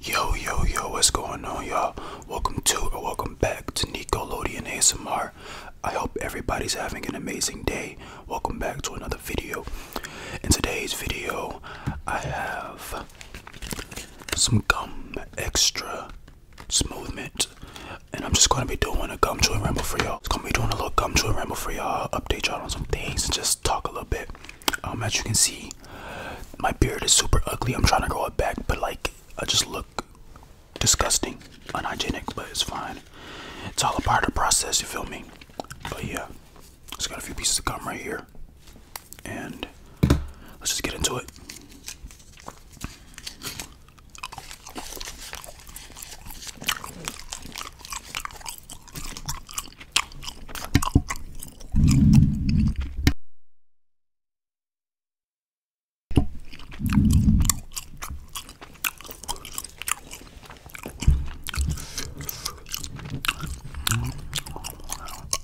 Yo, yo, yo, what's going on, y'all? Welcome to or welcome back to Nickelodeon ASMR. I hope everybody's having an amazing day. Welcome back to another video. In today's video, I have some gum extra smoothment. And I'm just gonna be doing a gum chewing ramble for y'all. It's gonna be doing a little gum chewing ramble for y'all, update y'all on some things, and just talk a little bit. Um, as you can see, my beard is super ugly. I'm trying to grow it back, but like I just look disgusting, unhygienic, but it's fine. It's all a part of the process, you feel me? But yeah, just got a few pieces of gum right here. And let's just get into it.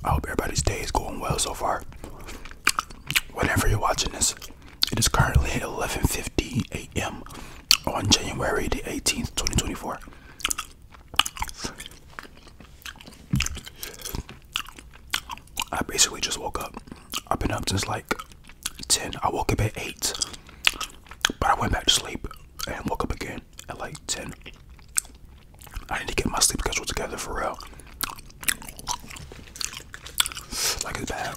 I hope everybody's day is going well so far. Whenever you're watching this, it is currently 11:50 a.m. on January the 18th, 2024. I basically just woke up. I've been up since like 10. I woke up at 8, but I went back to sleep and woke up again at like 10. I need to get my sleep schedule together for real. Like it's bad.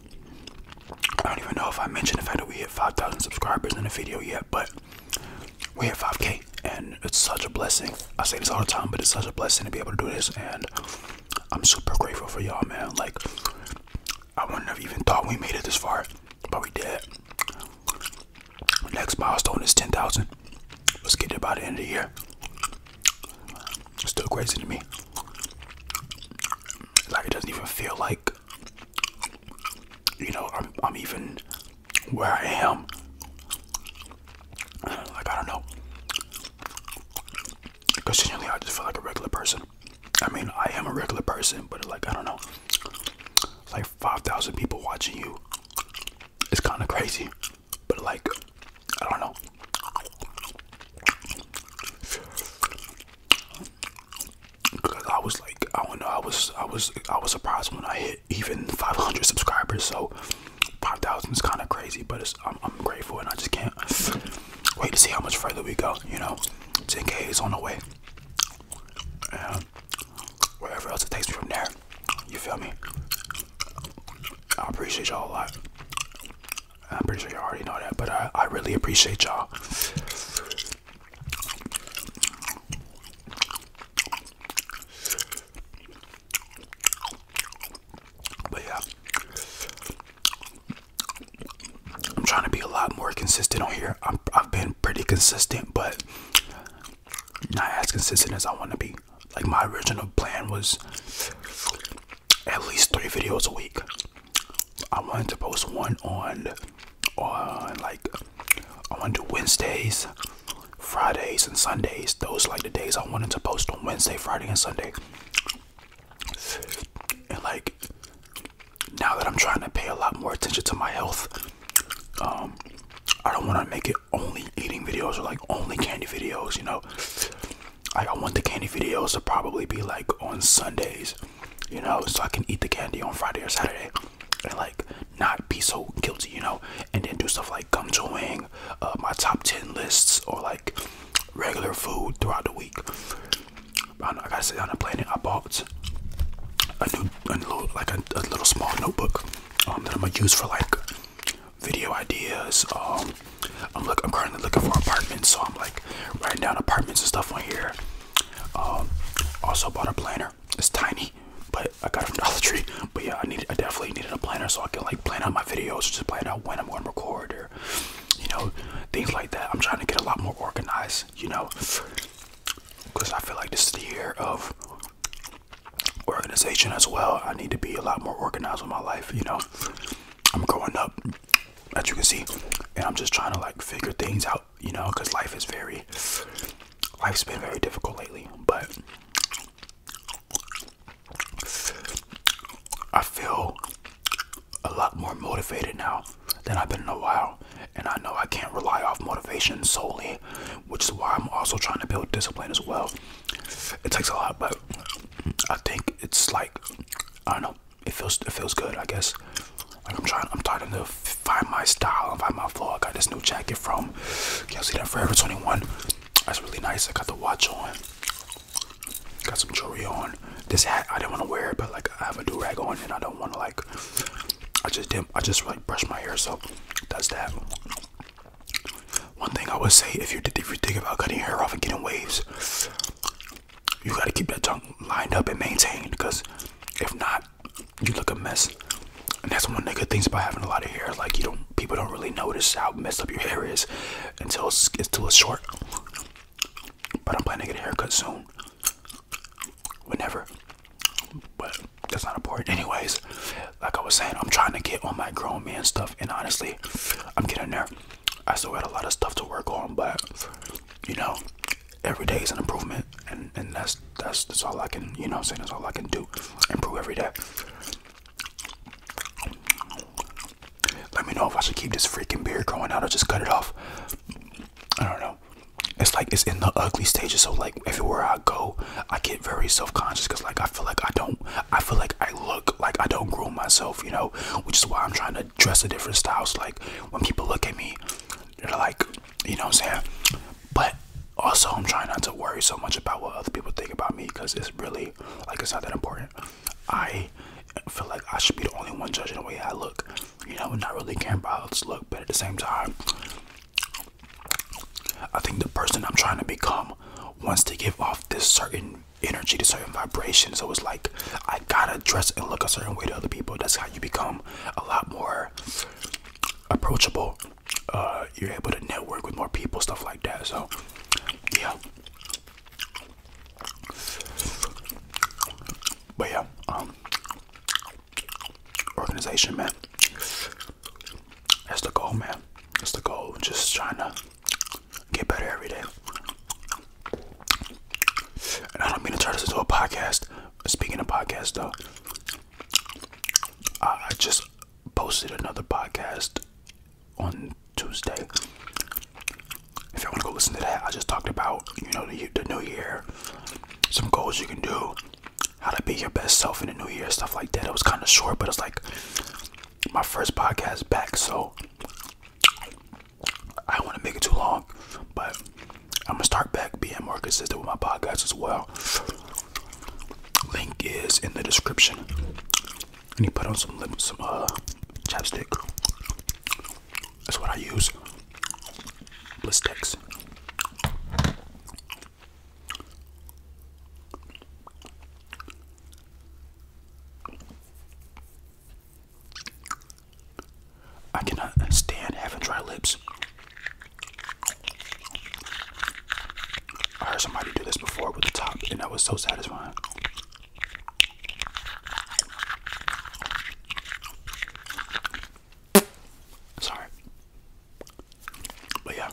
I don't even know if I mentioned the fact that we hit 5,000 subscribers in the video yet, but we hit 5K, and it's such a blessing. I say this all the time, but it's such a blessing to be able to do this, and I'm super grateful for y'all, man. Like, I wouldn't have even thought we made it this far, but we did. Next milestone is 10,000. Let's get there by the end of the year. still crazy to me. Like, it doesn't even feel like you know, I'm, even where I am. Like, I don't know. Continually, I just feel like a regular person. I mean, I am a regular person, but like, I don't know. Like 5,000 people watching you. It's kind of crazy, but like, I don't know because I was like, I don't know, I was, I was, I was surprised when I hit even 500 subscribers. So 5,000 is kind of crazy, but it's, I'm, grateful, and I just can't wait to see how much further we go. You know, 10k is on the way, and wherever else it takes me from there. You feel me? I appreciate y'all a lot. I'm pretty sure you already know that, but I, I really appreciate y'all. But yeah, I'm trying to be a lot more consistent on here. i I've been pretty consistent, but not as consistent as I want to be. Like my original plan was at least three videos a week. I wanted to post one on or uh, like I want to do Wednesdays, Fridays, and Sundays. Those like the days I wanted to post on Wednesday, Friday, and Sunday. And like now that I'm trying to pay a lot more attention to my health, um, I don't want to make it only eating videos or like only candy videos. You know, I want the candy videos to probably be like on Sundays you know, so I can eat the candy on Friday or Saturday and like not be so guilty, you know, and then do stuff like gum chewing, uh, my top 10 lists, or like regular food throughout the week. I, gotta sit down and plan it. I bought a new, a little, like a, little small notebook um, that I'm gonna use for like video ideas. Um, I'm look, I'm currently looking for apartments, so I'm like writing down apartments and stuff on here. Um, also bought a planner. It's tiny, but I got it from Dollar Tree. But yeah, I need I definitely needed a planner so I can like plan out my videos, just plan out when I'm going to record or you know things like that. I'm trying to get a lot more organized, you know, because I feel like this is the year of organization as well. I need to be a lot more organized with my life, you know. I'm growing up, as you can see, and I'm just trying to like figure things out, you know, because life is very, life's been very difficult lately. But I feel a lot more motivated now than I've been in a while, and I know I can't rely off motivation solely, which is why I'm also trying to build discipline as well. It takes a lot, but I think it's like I don't know it feels it feels good, I guess. Like I'm trying, I'm starting to find my style and find my flow. I got this new jacket from Can't see that Forever 21. That's really nice. I got the watch on. Got some jewelry on. This hat I didn't want to wear it, but like I have a do rag on and I don't want to like. I just did I just like brushed my hair, so does that. One thing I would say, if you if you think about cutting your hair off and getting waves, you gotta keep that tongue lined up and maintained because if not, you look a mess. And that's one of the good things about having a lot of hair. Like you don't, people don't really notice how messed up your hair is until it's, too short. But I'm planning to get a haircut soon. Whenever. But that's not important. Anyways, like I was saying, I'm trying to get on my grown man stuff, and honestly, I'm getting there. I still had a lot of stuff to work on, but you know, every day is an improvement, and and that's that's that's all I can you know saying that's all I can do, improve every day. Let me know if I should keep this freaking beard growing out or just cut it off. I don't know. It's like it's in the ugly stages. So like everywhere I go, I get very self-conscious because like I feel like I don't. I feel like I look like I don't groom myself, you know. Which is why I'm trying to dress a different styles like when people look at me, they're like, you know what I'm saying? But also, I'm trying not to worry so much about what other people think about me because it's really, like, it's not that important. I feel like I should be the only one judging the way I look, you know, not really caring about how I look, but at the same time, I think the person I'm trying to become wants to give off this certain energy, to certain vibrations. So it's like I gotta dress and look a certain way to other people. That's how you become a lot more approachable. Uh, you're able to network with more people, stuff like that. So yeah. But yeah, um organization man. That's the goal, man. That's the goal. Just trying to get better every day. And I don't mean to turn this into a podcast. Speaking of podcasts, though, I just posted another podcast on Tuesday. If you want to go listen to that, I just talked about you know the, the new year, some goals you can do, how to be your best self in the new year, stuff like that. It was kind of short, but it's like my first podcast back, so I want to make it too long, but I'm gonna start back being more consistent with my podcast as well. Link is in the description. And you put on some some uh, chapstick. That's what I use. Blistex. I cannot stand having dry lips. I heard somebody do this before with the top, and that was so satisfying. Sorry. But yeah.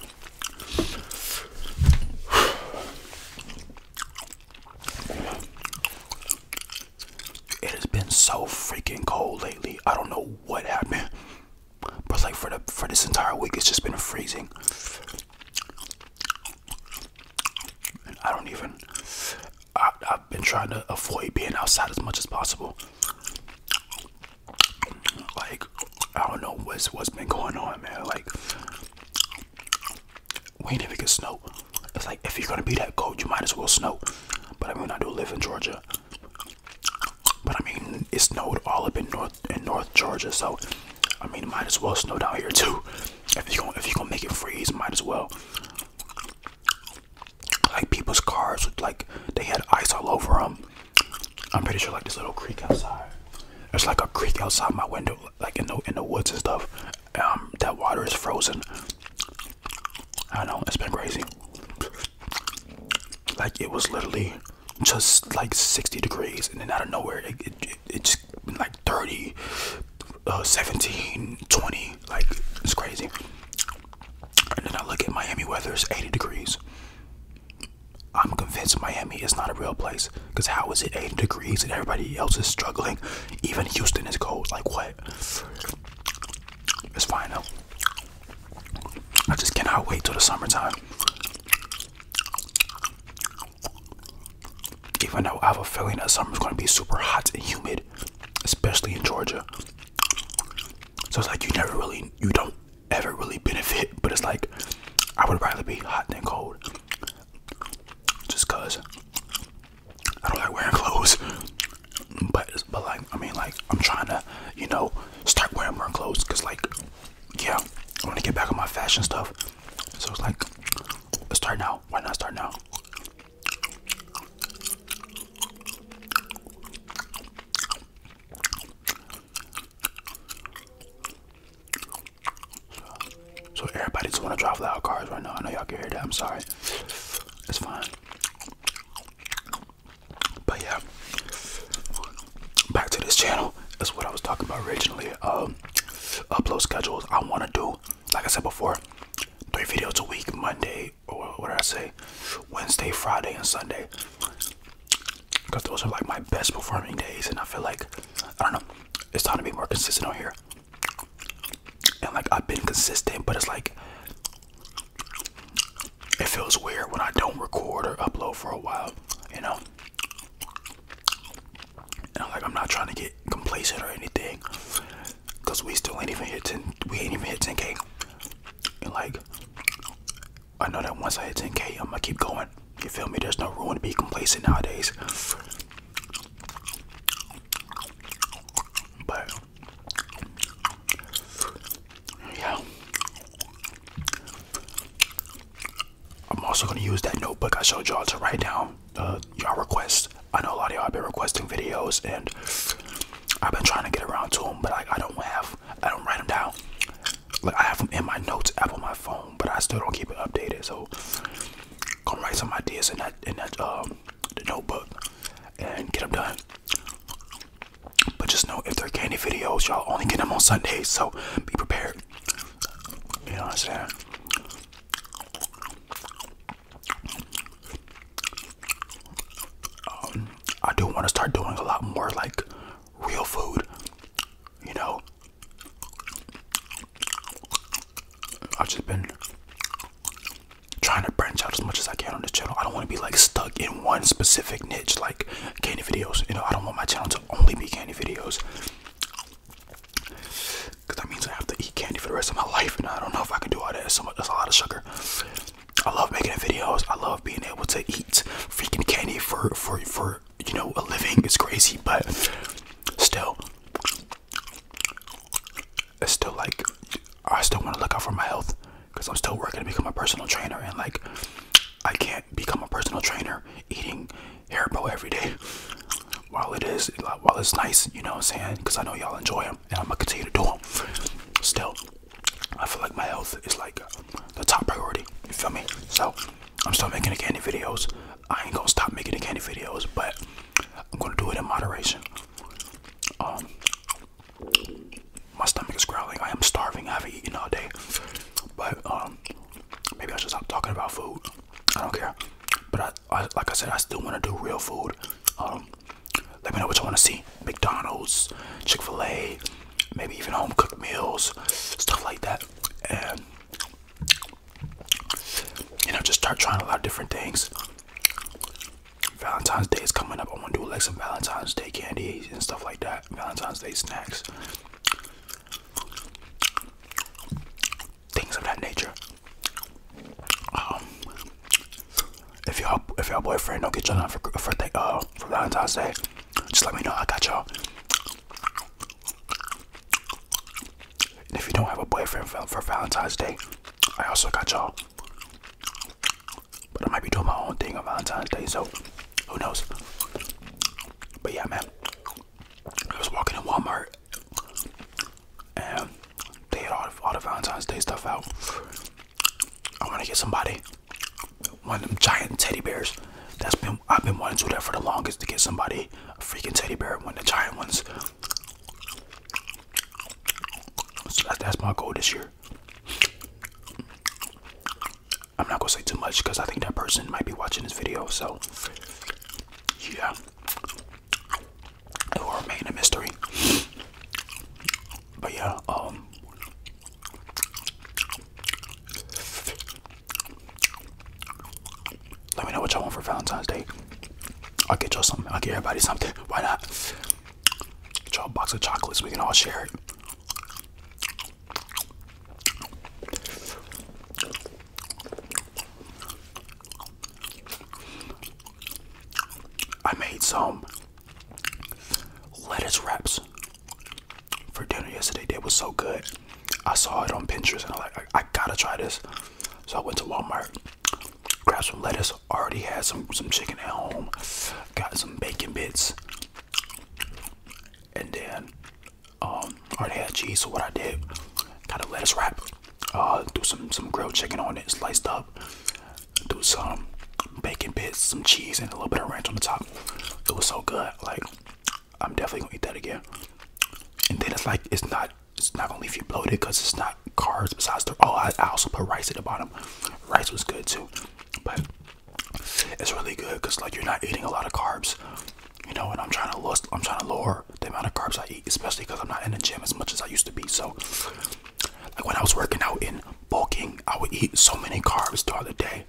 It has been so freaking cold lately. I don't know what happened. But like for the for this entire week it's just been freezing. And I don't even I, I've been trying to avoid being outside as much as possible. Like I don't know what's what's been going on, man. Like we ain't even get snow. It's like if you're gonna be that cold, you might as well snow. But I mean, I do live in Georgia. But I mean, it snowed all up in North in North Georgia, so I mean, might as well snow down here too. If you going to if you gonna make it freeze, might as well. Like people's cars, with like they had ice all over them. I'm pretty sure like this little creek outside. There's like a creek outside my window, like in the in the woods and stuff. Um, that water is frozen. I know it's been crazy. Like it was literally just like 60 degrees, and then out of nowhere it it, just like 30, uh, 17, 20. Like it's crazy. And then I look at Miami weather; it's 80 degrees. I'm convinced Miami is not a real place. Because how is it 80 degrees and everybody else is struggling? Even Houston is cold. Like, what? It's fine, though. I just cannot wait till the summertime. Even though I have a feeling that summer's going to be super hot and humid, especially in Georgia. So it's like you never really, you don't ever really benefit, but it's like I would rather be hot than cold. Just cause I don't like wearing clothes, but but like I mean like I'm trying to you know start wearing more clothes because like yeah I want to get back on my fashion stuff. So it's like let's start now. Why not start now? So everybody just wanna drive loud cars right now. I know y'all can hear that. I'm sorry. It's fine. But yeah, back to this channel. That's what I was talking about originally. Um, upload schedules. I wanna do, like I said before, three videos a week. Monday or what did I say? Wednesday, Friday, and Sunday. Cause those are like my best performing days, and I feel like I don't know. It's time to be more consistent on here and like I've been consistent, but it's like it feels weird when I don't record or upload for a while, you know. And like I'm not trying to get complacent or anything, cause we still ain't even hit ten. We ain't even hit 10k. And like I know that once I hit 10k, I'm gonna keep going. You feel me? There's no room to be complacent nowadays. But yeah. I'm also gonna use that notebook I showed y'all to write down uh, y'all requests. I know a lot of y'all have been requesting videos, and I've been trying to get around to them, but I don't have, I don't write them down. Like I have them in my notes app on my phone, but I still don't keep it updated. So come write some ideas in that in that um, notebook and get them done. But just know if they're candy videos, y'all only get them on Sundays, so be prepared. You know what I'm saying? Um, I do want to start doing a lot more like real food, you know, I've just been trying to branch out as much as I can on this channel. I don't want to be like stuck in one specific niche like candy videos. You know, I don't want my channel to only be candy videos. Cause that means I have to eat candy for the rest of my life, and I don't know if I can do all that. So that's a lot of sugar. I love making videos. I love being able to eat freaking candy for for for you know a living. It's crazy, but still, it's still like I still want to look out for my health because I'm still working to become a personal trainer and like I can't become a personal trainer eating hair Haribo every day. While it is while it's nice, you know what I'm saying? Because I know y'all enjoy them and I'm gonna continue to do them. Still, I feel like my health is like the top priority. You feel me? So I'm still making the candy videos. I ain't gonna stop making the candy videos, but I'm gonna do it in moderation. Um, my stomach is growling. I am starving. I haven't eaten all day, but um, maybe I should stop talking about food. I don't care. But I, I like I said, I still want to do real food. Um, let me know what you want to see: McDonald's, Chick Fil A, maybe even home cooked meals, stuff like that. And you know, just start trying a lot of different things. Valentine's Day is coming up. I want to do like some Valentine's Day candy and stuff like that. Valentine's Day snacks, things of that nature. Um, if y'all, if y'all boyfriend don't get y'all for for, uh, for Valentine's Day, just let me know. I got y'all. And if you don't have a boyfriend for Valentine's Day, I also got y'all. But I might be doing my own thing on Valentine's Day, so who knows? But yeah, man, I was walking in Walmart and they had all the, all the Valentine's Day stuff out. I want to get somebody one of them giant teddy bears that's been um, I've been wanting to do that for the longest to get somebody a freaking teddy bear, one of the giant ones. So that's my goal this year. I'm not gonna say too much because I think that person might be watching this video. So yeah, it will remain a mystery. But yeah, um, let me know what y'all want for Valentine's Day. I'll get y'all something. I'll get everybody something. Why not? Get y'all a box of chocolates. We can all share it. I made some lettuce wraps for dinner yesterday. They were so good. I saw it on Pinterest and I like I, gotta try this. So I went to Walmart, grabbed some lettuce, already had some some chicken at home, got some bacon bits, and then um already had cheese, so what I did, got a lettuce wrap, do uh, some some grilled chicken on it, sliced up, do some bacon bits, some cheese, and a little bit of ranch on the top. It was so good. Like I'm definitely gonna eat that again. And then it's like it's not it's not gonna leave you bloated because it's not carbs besides the oh I, I also put rice at the bottom. Rice was good too, but it's really good because like you're not eating a lot of carbs, you know. And I'm trying to lose I'm trying to lower the amount of carbs I eat, especially because I'm not in the gym as much as I used to be. So like when I was working out in bulking, I would eat so many carbs throughout the day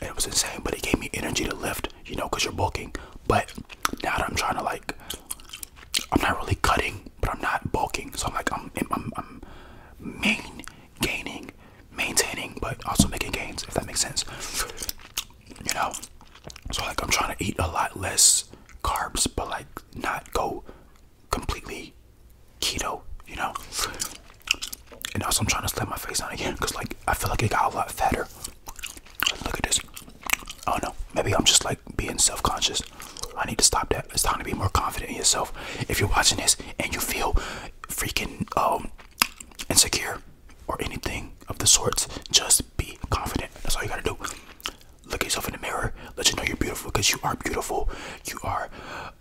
and it was insane, but it gave me energy to lift, you know, because you're bulking. But now that I'm trying to like, I'm not really cutting, but I'm not bulking, so I'm like, I'm, I'm, I'm main gaining, maintaining, but also making gains, if that makes sense, you know. So like, I'm trying to eat a lot less carbs, but like, not go completely keto, you know. And also, I'm trying to slim my face down again because like I feel like I got a lot fatter. Look at this. Oh no, maybe I'm just like being self conscious. I need to stop that. It's time to be more confident in yourself. If you're watching this and you feel freaking um, insecure or anything of the sorts, just be confident. That's all you gotta do. Look at yourself in the mirror. Let you know you're beautiful because you are beautiful. You are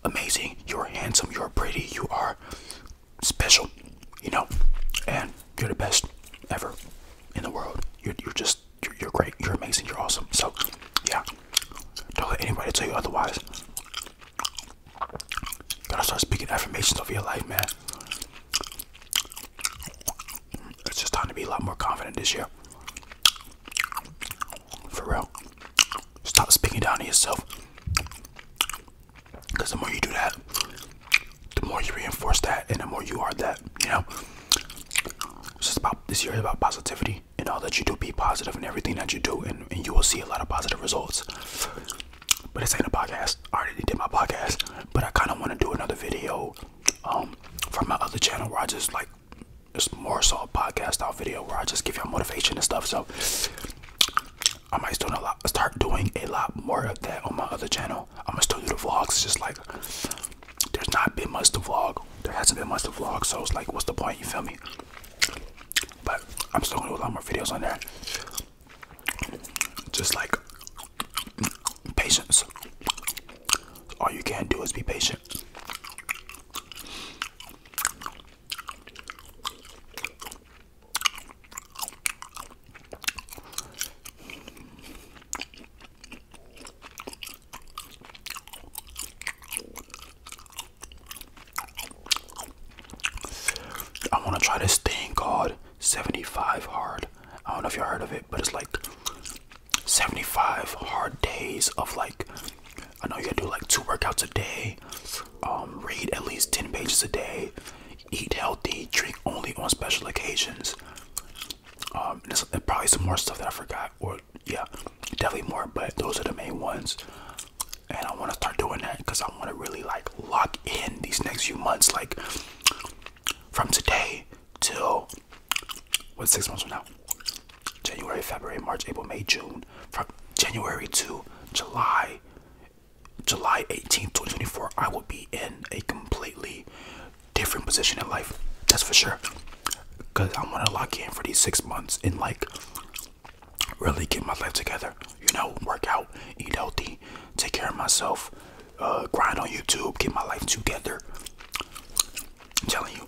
amazing. You're handsome. You're pretty. You are special, you know, and you're the best ever in the world. You're, you're just, you're, great, you're amazing, you're awesome. So, yeah, don't let anybody tell you otherwise. You gotta start speaking affirmations over your life, man. It's just time to be a lot more confident this year. For real. Stop speaking down to yourself. Because the more you do that, the more you reinforce that, and the more you are that, you know. This is about this year is about positivity and all that you do. Be positive in everything that you do, and, you will see a lot of positive results. But this ain't a podcast. I already did my podcast, but I kind of want to do another video um, from my other channel where I just like it's more so a podcast style video where I just give y'all motivation and stuff. So I might start, a start doing a lot more of that on my other channel. I'm gonna still do the vlogs. just like there's not been much to vlog. There hasn't been much to vlog, so it's like, what's the point? You feel me? But I'm still gonna do a lot more videos on there. Just like patience. All you can do is be patient. I want to try this thing called 75 Hard. I don't know if you heard of it, but it's like 75 hard days of like, I know you do like two workouts a day, um, read at least 10 pages a day, eat healthy, drink only on special occasions. Um, probably some more stuff that I forgot, or yeah, definitely more, but those are the main ones. And I want to start doing that because I want to really like lock in these next few months, like from today till what's six months from now January, February, March, April, May, June, from January to July July 18th, 2024, I will be in a completely different position in life. That's for sure. Because I'm going to lock in for these six months and like really get my life together. You know, work out, eat healthy, take care of myself, uh, grind on YouTube, get my life together. I'm telling you.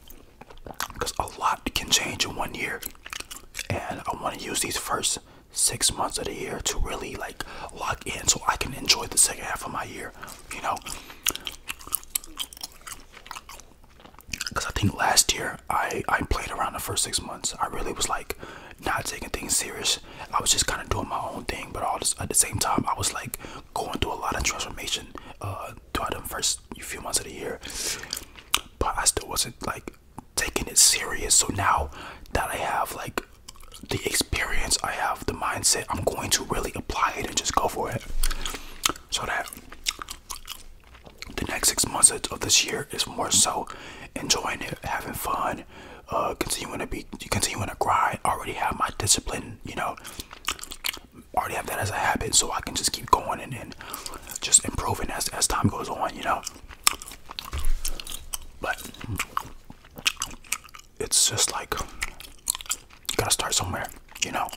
Because a lot can change in one year. And I want to use these first six months of the year to really like lock in so I can enjoy the second half of my year, you know. Because I think last year I, I played around the first six months. I really was like not taking things serious. I was just kind of doing my own thing, but all at the same time, I was like going through a lot of transformation uh, throughout the first few months of the year. But I still wasn't like taking it serious. So now that I have like the experience, I have the mindset, I'm going to really apply it and just go for it. So that the next six months of this year is more so enjoying it, having fun, uh, continuing to be, continuing to grind. already have my discipline, you know, already have that as a habit, so I can just keep going and, then just improving as as time goes on, you know. But it's just like you gotta start somewhere, you know.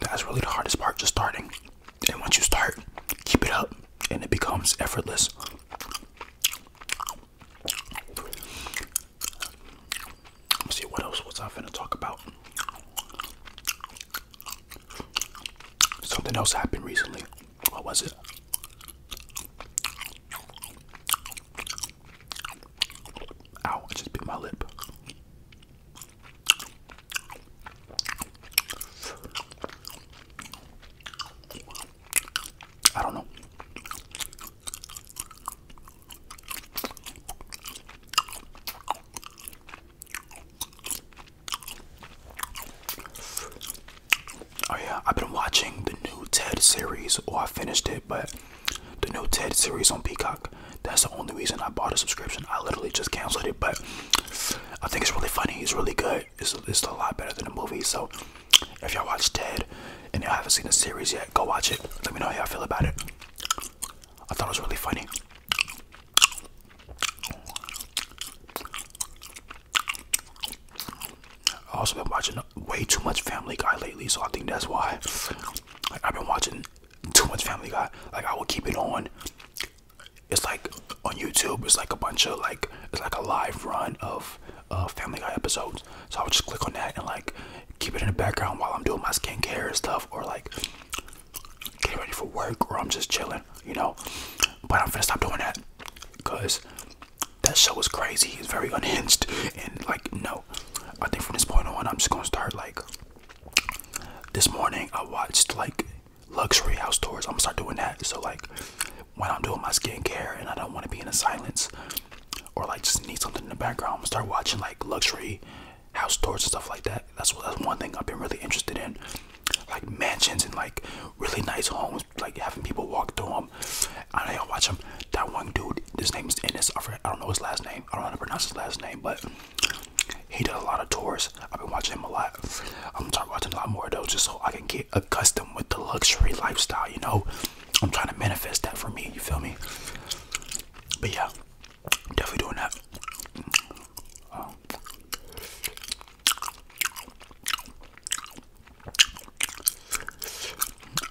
That's really the hardest part, just starting. And once you start, keep it up, and it becomes effortless. see what else was I going talk about. Something else happened recently. What was it? Ow, just bit my lip. I don't know. Oh yeah, I've been watching the new TED series, or I finished it, but the new TED series on Peacock. That's the only reason I bought a subscription. I literally just canceled it, but I think it's really funny. It's really good. It's, it's a lot better than the movie. So if y'all watch TED and y'all haven't seen the series yet, go watch it. Let me know how y'all feel about it. I thought it was really funny i also been watching way too much Family Guy lately, so I think that's why. I've been watching too much Family Guy. Like I will keep it on. It's like on YouTube. It's like a bunch of like it's like a live run of Family Guy episodes. So I would just click on that and like keep it in the background while I'm doing my skincare and stuff, or like getting ready for work or I'm just chilling, you know. But I'm gonna stop doing that because that show was crazy. It's very unhinged and like no. I think from this point on, I'm just gonna start like. This morning I watched like luxury house tours. I'm gonna start doing that. So like when I'm doing my skincare and I don't want to be in a silence or like just need something in the background, I'm gonna start watching like luxury house tours and stuff like that. That's what that's one thing I've been really interested in like mansions and like really nice homes, like having people walk through them. I don't know, watch him. That one dude, his name is Ennis. I, I don't know his last name. I don't know how to pronounce his last name, but he did a lot of tours. I've been watching him a lot. I'm gonna start watching a lot more of those just so I can get accustomed with the luxury lifestyle, you know? I'm trying to manifest that for me, you feel me? But yeah, definitely doing that. Um,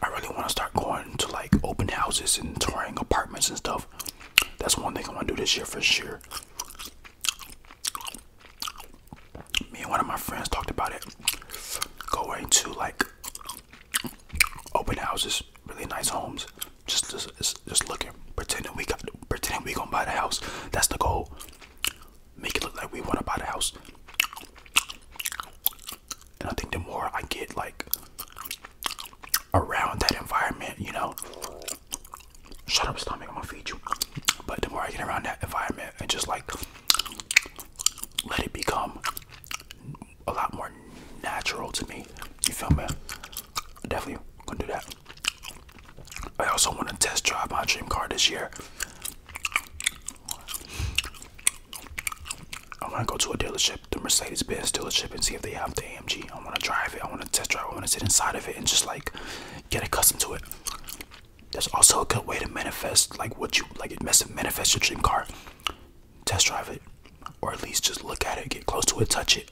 I really want to start going to like open houses and touring apartments and stuff. That's one thing I want to do this year for sure. Me and one of my friends talked about it. Going to like open houses, really nice homes. Just, just, just looking, pretending we got, pretending we gonna buy the house. That's the goal. Make it look like we wanna buy the house. And I think the more I get like around that environment, you know. Shut up, stomach. I'm gonna feed you. But the more I get around that environment and just like let it become a lot more natural to me. You feel me? Definitely gonna do that. I also want to test drive my dream car this year. I am going to go to a dealership, the Mercedes Benz dealership, and see if they have the AMG. I want to drive it. I want to test drive. I want to sit inside of it and just like get accustomed to it. There's also a good way to manifest like what you like. It manifest your dream car. Test drive it, or at least just look at it, get close to it, touch it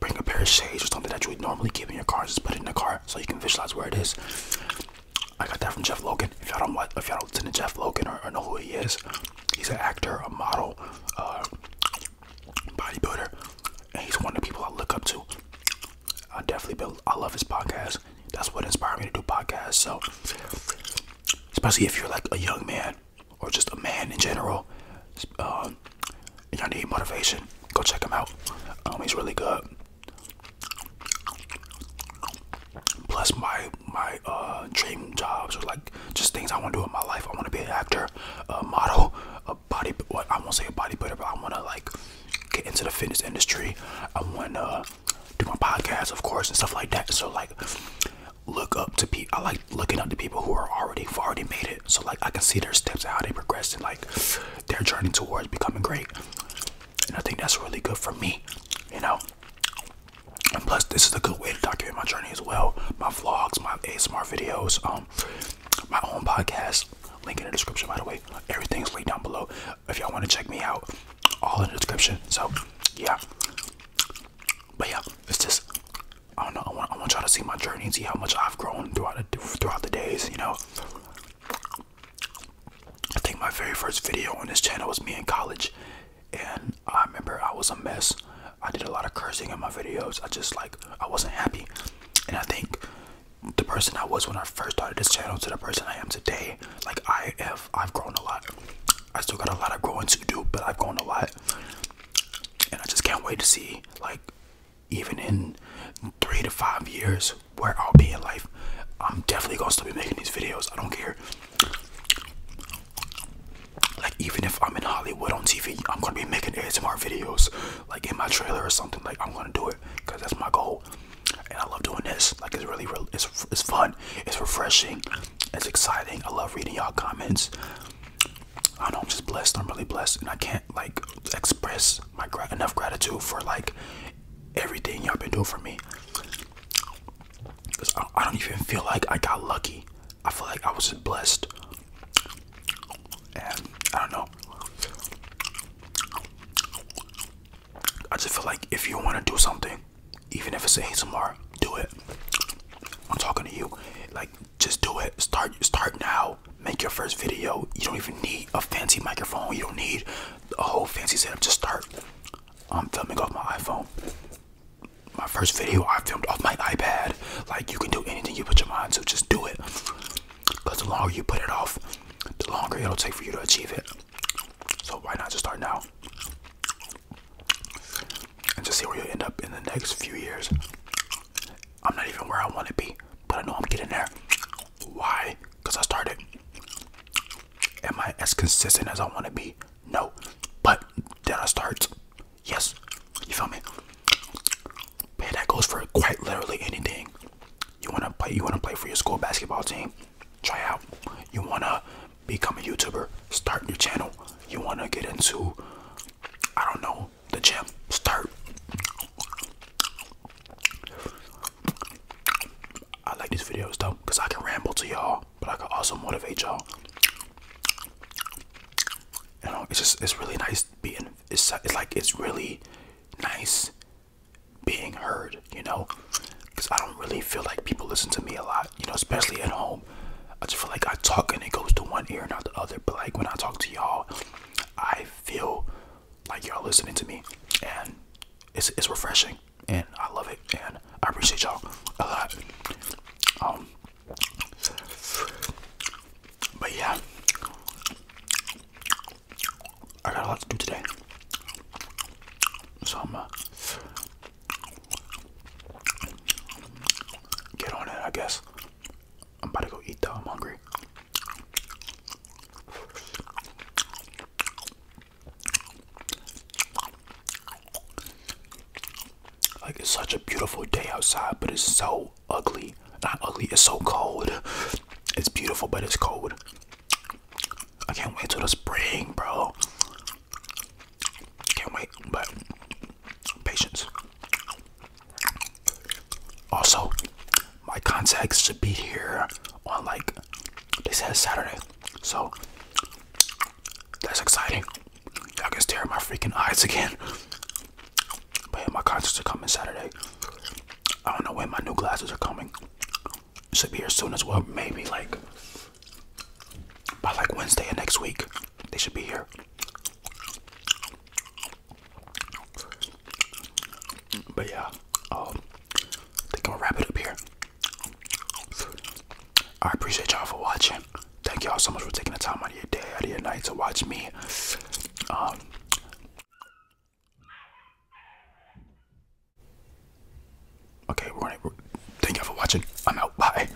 bring a pair of shades or something that you would normally keep in your car. Just put it in the car so you can visualize where it is. I got that from Jeff Logan. If y'all don't like, if y'all don't listen Jeff Logan or, know who he is, he's an actor, a model, uh, bodybuilder, and he's one of the people I look up to. I definitely build. I love his podcast. That's what inspired me to do podcasts. So, especially if you're like a young man or just a man in general, um, and y'all need motivation, go check him out. Um, he's really good. Plus my my uh, dream jobs or like just things I want to do in my life. I want to be an actor, a model, a body. What I won't say a bodybuilder, but I want to like get into the fitness industry. I want to do my podcast, of course, and stuff like that. So like, look up to people. I like looking up to people who are already, already made it so like I can see their steps, and how they progress and like their journey towards becoming great. And I think that's really good for me, you know. And plus, this is a good way to document my journey as well. My vlogs, my ASMR videos, um, my own podcast. Link in the description, by the way. Everything's laid down below. If y'all want to check me out, all in the description. So, yeah. But yeah, it's just I don't know. I want, I want y'all to see my journey and see how much I've grown throughout the, throughout the days. You know, I think my very first video on this channel was me in college, and I remember I was a mess. I did a lot of cursing in my videos. I just like I wasn't happy, and I think the person I was when I first started this channel to the person I am today, like I have, I've grown a lot. I still got a lot of growing to do, but I've grown a lot and I just can't wait to see like even in three to five years where I'll be in life. I'm definitely gonna still be making these videos. I don't care. Like even if I'm in Hollywood on TV, I'm gonna be making ASMR videos, like in my trailer or something. Like I'm gonna do it because that's my goal, and I love doing this. Like it's really, it's it's fun. It's refreshing. It's exciting. I love reading y'all comments. I know I'm just blessed. I'm really blessed, and I can't like express my enough gratitude for like everything y'all been doing for me. Cause I, don't even feel like I got lucky. I feel like I was blessed, and I don't know. I just feel like if you want to do something, even if it's a ASMR, do it. I'm talking to you. Like just do it. Start start now. Make your first video. You don't even need a fancy microphone. You don't need a whole fancy setup. Just start. I'm filming off my iPhone. My first video I filmed off my iPad. Like you can do anything you put your mind to. Just do it. Cause the longer you put it off, the longer it'll take for you to achieve it. So why not just start now? and just see where you end up in the next few years. I'm not even where I want to be, but I know I'm getting there. Why? Because I started. Am I as consistent as I want to be? No. But did I start? Yes. You feel me? Man, that goes for quite literally anything. You wanna play you wanna play for your school basketball team? Try out. You wanna become a YouTuber, start your channel. You wanna get into I don't know, the gym, start. I like these videos though, because I can ramble to y'all, but I can also motivate y'all. You know, it's just, it's really nice being, it's, like, it's really nice being heard, you know, because I don't really feel like people listen to me a lot, you know, especially at home. I just feel like I talk and it goes to one ear not the other. But like when I talk to y'all, I feel like y'all listening to me, and it's it's refreshing, and I love it, and I appreciate y'all a lot. Um, but yeah, I got a lot to do today, so I'm gonna get on it, I guess. I'm about to go eat though. I'm hungry. Like it's such a beautiful day outside, but it's so ugly. Not ugly, it's so cold. It's beautiful, but it's cold. I can't wait till the spring, bro. Can't wait, but patience. Also, my contacts should be here on like they said Saturday, so that's exciting. I can stare at my freaking eyes again. But my contacts are coming Saturday. I don't know when my new glasses are coming. Should be here soon as well. Maybe like by like Wednesday of next week, they should be here. But yeah, um, I think I'll wrap it up here. I appreciate y'all for watching. Thank y'all so much for taking the time out of your day, out of your night to watch me. Um, okay, we're thank y'all for watching. I'm out. Bye.